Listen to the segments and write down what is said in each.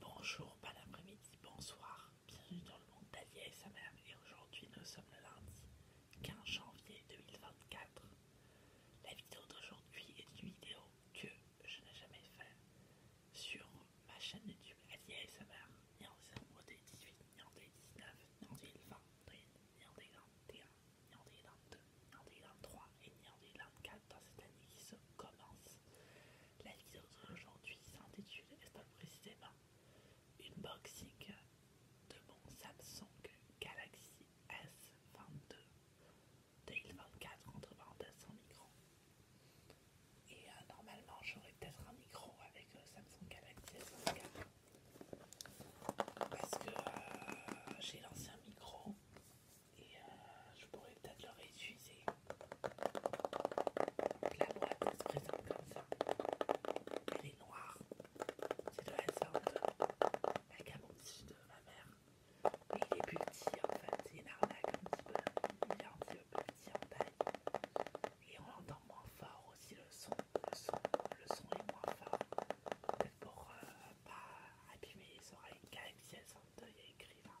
Bonjour, bon après-midi, bonsoir, bienvenue dans le monde sa mère. et aujourd'hui nous sommes le lundi 15 janvier 2024. La vidéo d'aujourd'hui est une vidéo que je n'ai jamais faite sur ma chaîne YouTube sa mère. ni en 0, 2018, 18, ni en 19, ni en 2020, ni en 2021, ni en 2022, ni en 2023 et ni en 2024 dans cette année qui se commence. La vidéo d'aujourd'hui s'intitule précisément Unboxing de mon Samsung Galaxy S22 24 entre parenthèses sans micro. Et euh, normalement, j'aurais peut-être un micro avec euh, Samsung Galaxy S24 parce que euh, j'ai lancé un micro et euh, je pourrais peut-être le réutiliser. Donc, la boîte elle se présente comme ça. Elle est noire. C'est de la sorte la cabotige de ma mère. Mais il est plus petit en fait. C'est une arnaque un petit peu. Il est un petit peu petit en taille. Et on entend moins fort aussi le son. Le son, est moins fort. peut pour ne euh, pas abîmer les oreilles. car si elles sont il y a écrit hein.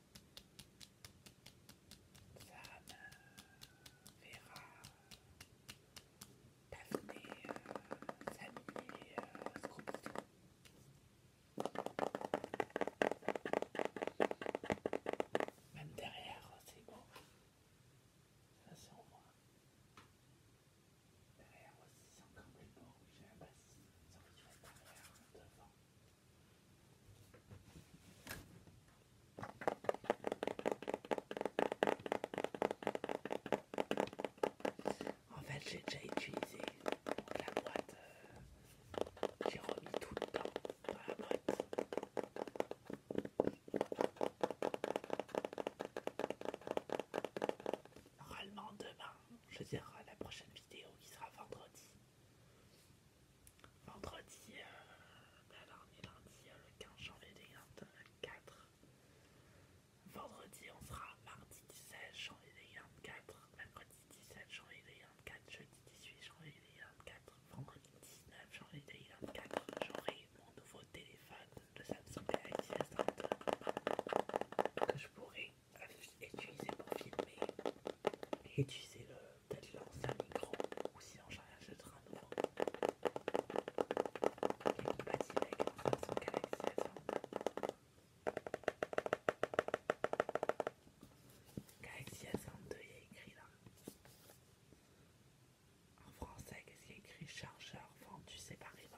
Ça me verra Daphné, euh, Même derrière, c'est beau. Ça c'est en moi. Derrière aussi, c'est encore plus beau. Je sais pas si ça vous derrière, devant. En fait, j'ai déjà utilisé la boîte. Euh, j'ai remis tout le temps dans la boîte. Normalement, demain, te je dirai la prochaine vidéo qui sera vendredi. Vendredi, euh, ben, lundi, euh, le 15 janvier 2024. Vendredi, on sera mardi 17 janvier 2024, mercredi 17 janvier 2024, jeudi 18 janvier 2024, vendredi 19 janvier 2024. J'aurai mon nouveau téléphone de Samsung Galaxy S32 que je pourrai utilisé pour filmer, utilisez peut-être l'ancien micro ou sinon j'en j'arrive de train noir qui est compatible avec la façon Galaxy S22. Galaxy S22 il y a écrit là. En français, qu'est-ce qu'il y a écrit Chargeur enfin, tu sais, vendu séparément.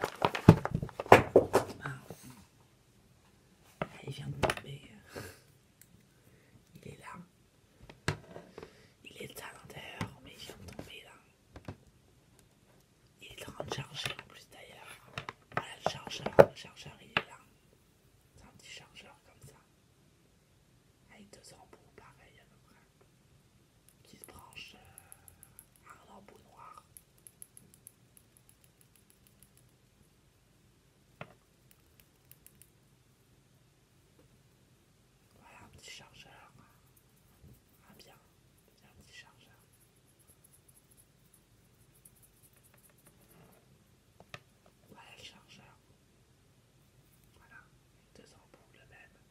Ah. Ah, il vient de tomber. Euh. Il est là. Il est à l'intérieur, mais il vient de tomber là. Il est en train de charger en plus d'ailleurs. Voilà ah, le chargeur. Le chargeur, il est là. C'est un petit chargeur comme ça. Avec deux embouts, pareil à peu près qui se branche à un embout noir. Voilà un petit chargeur. Un bien, bien un petit chargeur. Voilà le chargeur. Voilà, deux embouts le même.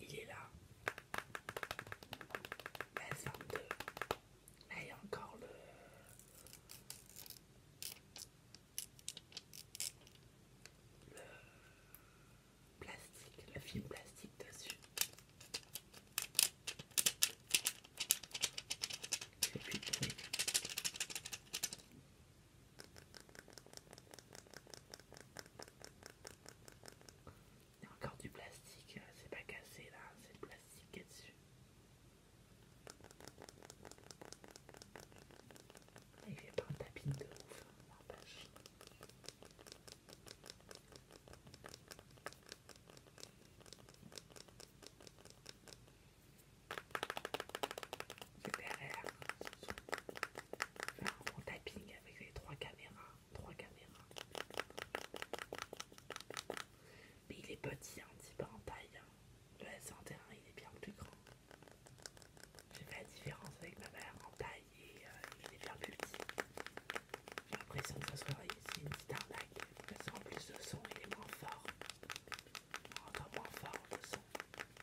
il est là. Mais 22. Là, il y a encore le. plastique, le film plastique dessus. Il y a encore du plastique, hein, c'est pas cassé là, hein, c'est le plastique qui est dessus. Ah, il a pas un tapis de ouf, hein, n'empêche. C'est derrière faire un tapping avec les trois caméras. Trois caméras. Mais il est petit, un petit peu en taille. Hein. Le s 101 il est bien plus grand. J'ai fait la différence avec ma mère en taille et euh, il est bien plus petit. J'ai l'impression que ce soit une petite arnaque. façon plus, de son, il est moins fort. On moins fort le son.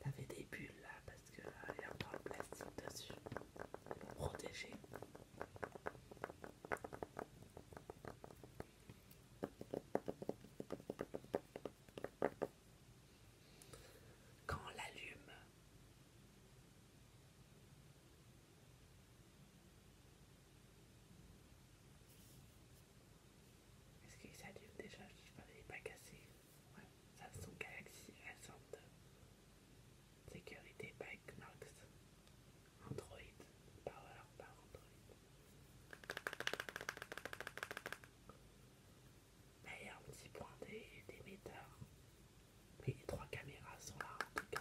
T'avais des bulles là parce que il y a encore le plastique dessus pour protéger. Quand on l'allume, est-ce qu'il s'allume déjà Je ne sais pas, il n'est pas cassé. Ouais, ça son Galaxy s de Sécurité by Knox. Android. Power par Android il y a un petit point d'émetteur. Mais les trois caméras sont là en tout cas.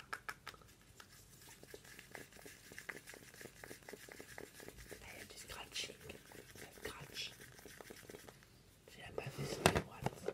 Là, il y a du scratching. Ça scratch. J'ai la pas fait sur la boîte.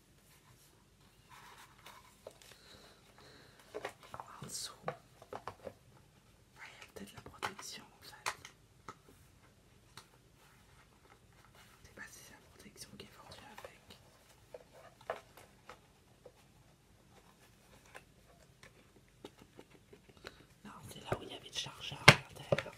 En dessous, il y a peut-être la protection en fait. Je sais pas si c'est la protection qui est forcée avec. Non, c'est là où il y avait de chargeur à l'intérieur.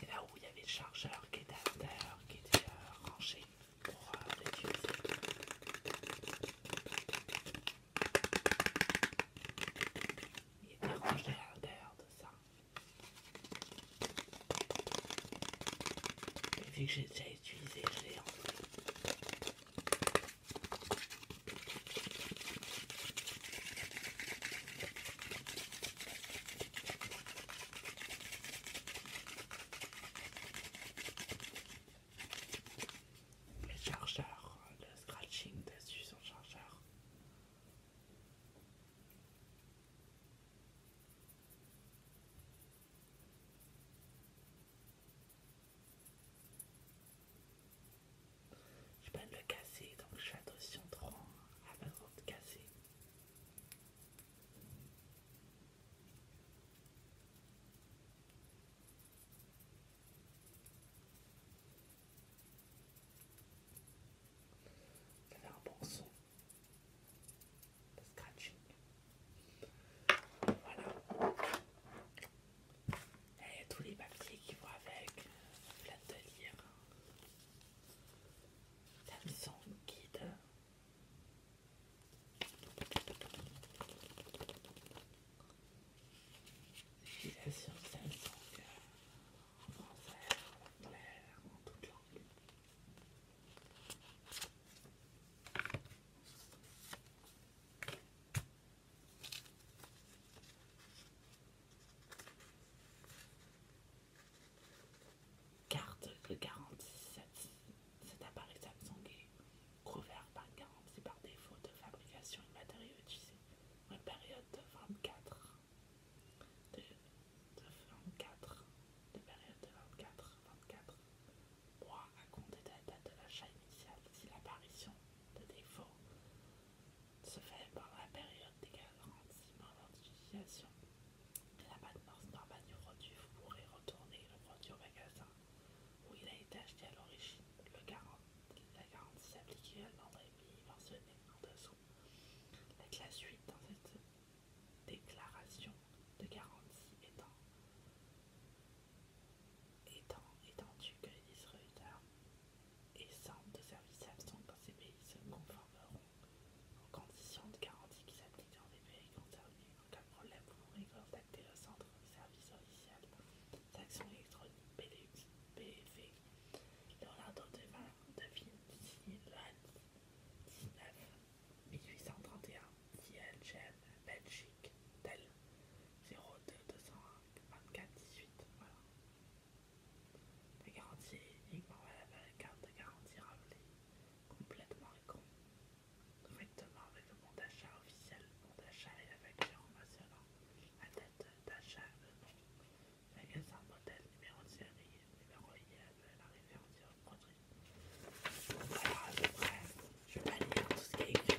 C'est là où il y avait le chargeur qui était à l'intérieur, qui était euh, rangé pour l'utiliser. Euh, il était rangé à l'intérieur de ça. Et vu que j'ai déjà utilisé, je l'ai enlevé. Le chargeur, le scratching dessus son chargeur. Je peux le casser, donc je fais attention trop à pas trop de casser. Ça fait un bon son. Le scratching. Voilà. Il y a tous les papiers qui vont avec, plein de lire. Samsung guide. Utilisation Samsung en français, en anglais, en toute langue. Carte de garantie. Cet, cet appareil Samsung est couvert par c'est par défaut de fabrication et matériaux utilisés une période de 24. De, 24. De période de 24. 24 3 à compter de la date de l'achat initial. Si l'apparition de défaut ce fait pendant la période des garantissements de La maintenance normale du produit, vous pourrez retourner le produit au magasin où il a été acheté à l'origine. La garantie s'applique à l'endroit mentionné en dessous. La suite dans cette déclaration de garantie étant Étant étendu que les distributeurs et centres de services absents dans ces pays se conformeront aux conditions de garantie qui s'appliquent dans les pays concernés, aucun problème vous pourrez contacter le centre de services officiels d'action électronique pdx Leonardo Leonardo de Vinci, 19, 1831, CLGM, Belgique, Tel, 022418. Voilà. La garantie est uniquement bah bah, la carte de garantie rappelée, complètement et Correctement avec le bon d'achat officiel, le bon d'achat et la facture en mentionnant la date d'achat, le nom, magasin, modèle, numéro de série, numéro IAB, la référence au produit. Voilà, à peu près, je vais pas lire tout ce qui est écrit.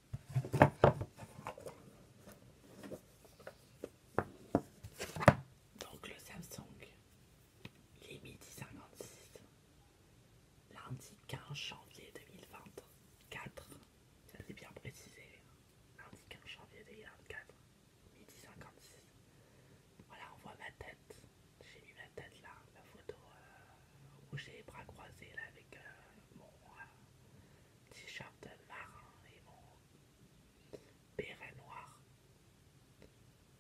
Donc le Samsung, il est midi 56, lundi 15 janvier 2024, ça c'est bien précisé, hein. lundi 15 janvier 2024, midi 56. Voilà, on voit ma tête, j'ai mis ma tête là, la photo où j'ai les bras croisés là avec euh, mon... Euh, t-shirt marin et mon béret noir.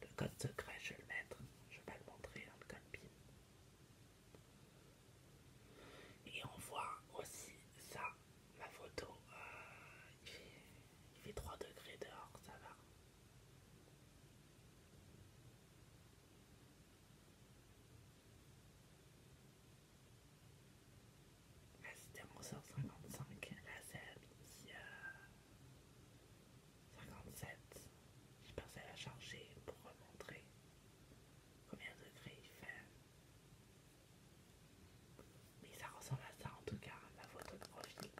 Le code secret, je vais le mettre, je vais le montrer dans le pin Et on voit aussi ça, ma photo, euh, il fait 3 degrés dehors, ça va c'était mon sort 55. Là, 57. Je pensais la changer pour montrer combien de degrés il fait. Mais ça ressemble à ça en tout cas, ma photo de profil.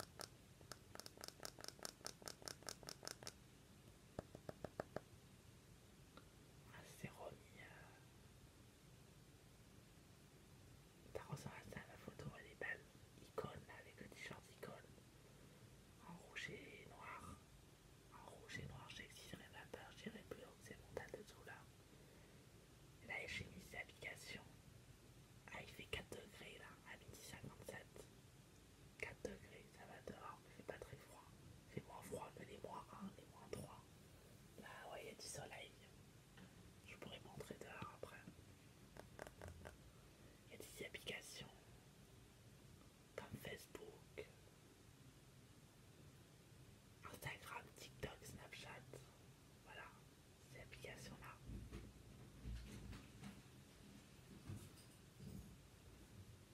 Ah, c'est remis. Ça à ça, la photo, elle est belle. Icône, avec le t-shirt icône. En rouge et noir. En rouge et noir, j'exigerai ma peur, j'irai plus haut, c'est mon tas tout là. Là, j'ai mis des application. Ah, il fait 4 degrés là, à midi 4 degrés, ça va dehors. C'est pas très froid. C'est moins froid que les moins 1, les moins 3. Là, ouais, il y a du soleil. Je pourrais montrer dehors après. Il y a des applications comme Facebook, Instagram, TikTok, Snapchat. Voilà, ces applications-là.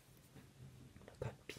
La code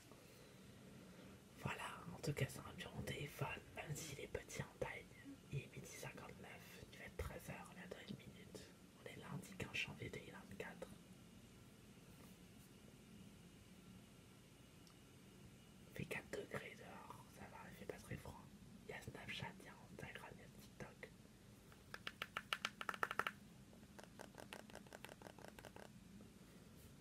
Voilà, en tout cas c'est un bureau téléphone, même s'il est petit en taille. Il est midi 59, il fait être 13h, on a dans une minute. On est lundi 15 janvier 24. Il fait 4 degrés dehors, ça va, il fait pas très froid. Il y a Snapchat, il y a Instagram, il y a TikTok.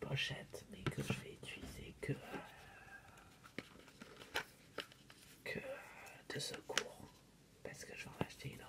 pochette, mais que je vais utiliser que, que de secours, parce que je vais en acheter une autre.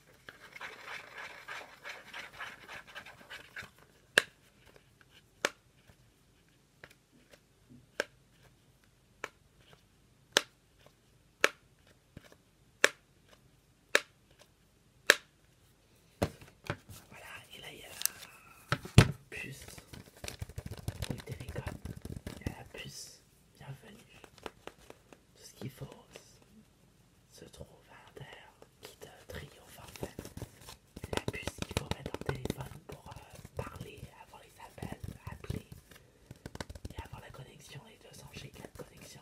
Voilà, et là il y a la puce ou Il y a la puce, bienvenue. Tout ce qu'il faut, se trouve à air qui te triomphe en fait. La puce qu'il faut mettre dans téléphone pour euh, parler, avoir les appels, appeler et avoir la connexion, les 200 chez de connexion.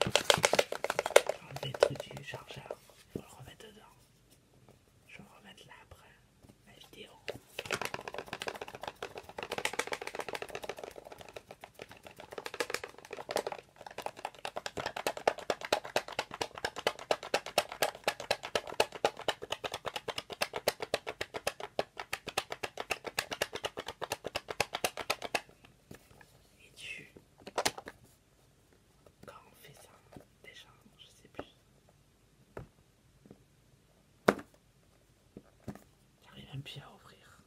enlever le truc du chargeur faut le remettre dedans. Je vais le remettre là après la vidéo. Et tu quand on fait ça, déjà, je sais plus. J'arrive même plus à ouvrir.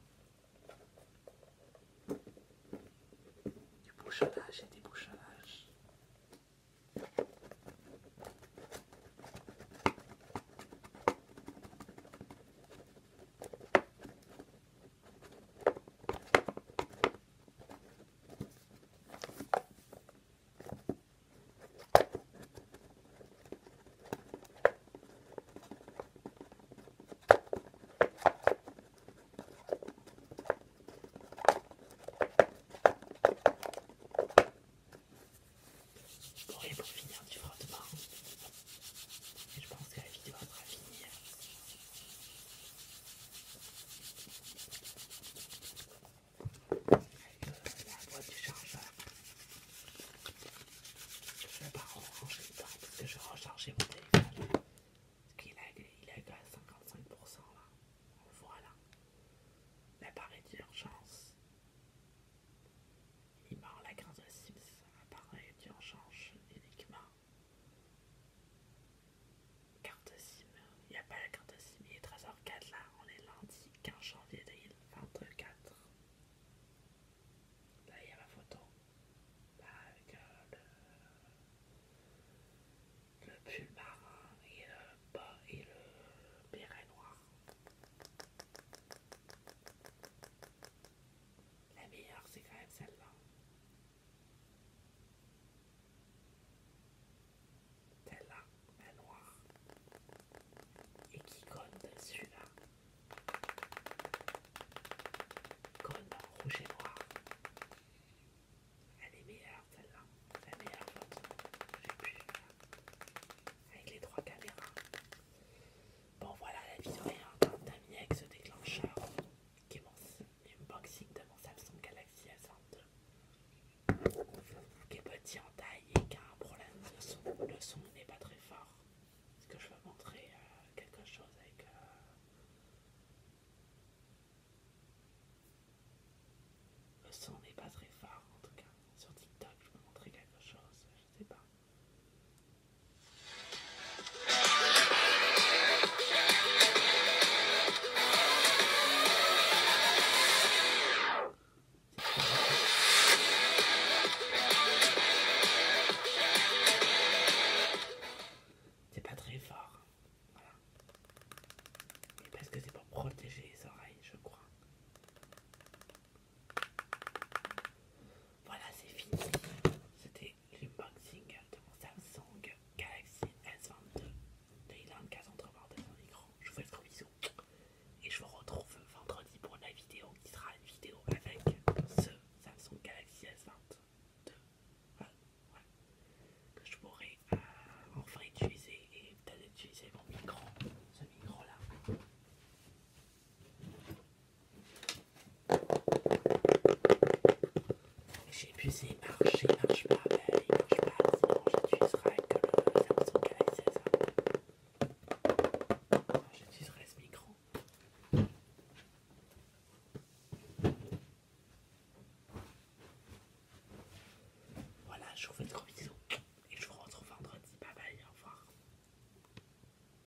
Du bouchonnage et des bouchonnages. Je et pour finir, du frottement, demain. Et je pense que la vidéo sera finie la boîte du chargeur. Je ne vais pas re-recharger le temps parce que je vais recharger mon téléphone. Parce qu'il est à 55% là On le voit là. L'appareil d'urgence. Il mord la carte de Sims. Appareil d'urgence uniquement Carte SIM. Il n'y a pas la carte SIM. Il est 13h04 là. On est lundi 15 janvier 2024. Là, il y a ma photo. avec le, euh, le pull marin et le bas et le béret noir. La meilleure, c'est quand même celle-là. Celle-là, la noire. Et qui colle dessus là. Colle rouge et noir. Elle est meilleure celle-là. La meilleure Avec les trois caméras. Bon voilà, la vidéo est ami avec ce déclencheur qui est mon unboxing de mon Samsung Galaxy s 2 qui est petit en taille et qui a un problème de son. Le son n'est pas très fort. Est-ce que je veux montrer euh, quelque chose avec... Euh, le son n'est pas très fort en tout cas. Sur TikTok, je peux montrer quelque chose pas. C'est pas très fort. Voilà. parce que c'est pour protéger les oreilles, je crois. Voilà, c'est fini. C'était l'unboxing de mon Samsung Galaxy S22 de Ilan Casandrevard de son écran. Je vous fais un bisou et je vous retrouve vendredi pour la vidéo qui sera une vidéo avec ce Samsung Galaxy S22 voilà, que je pourrai euh, enfin utiliser et peut-être utiliser mon micro, ce micro là. J'ai épuisé, marché, marche pas, ne marche pas, sinon j'utiliserai que le Samsung Galaxy s J'utiliserai ce micro. Voilà, je vous fais de gros bisous et je vous retrouve vendredi. Bye bye, au revoir.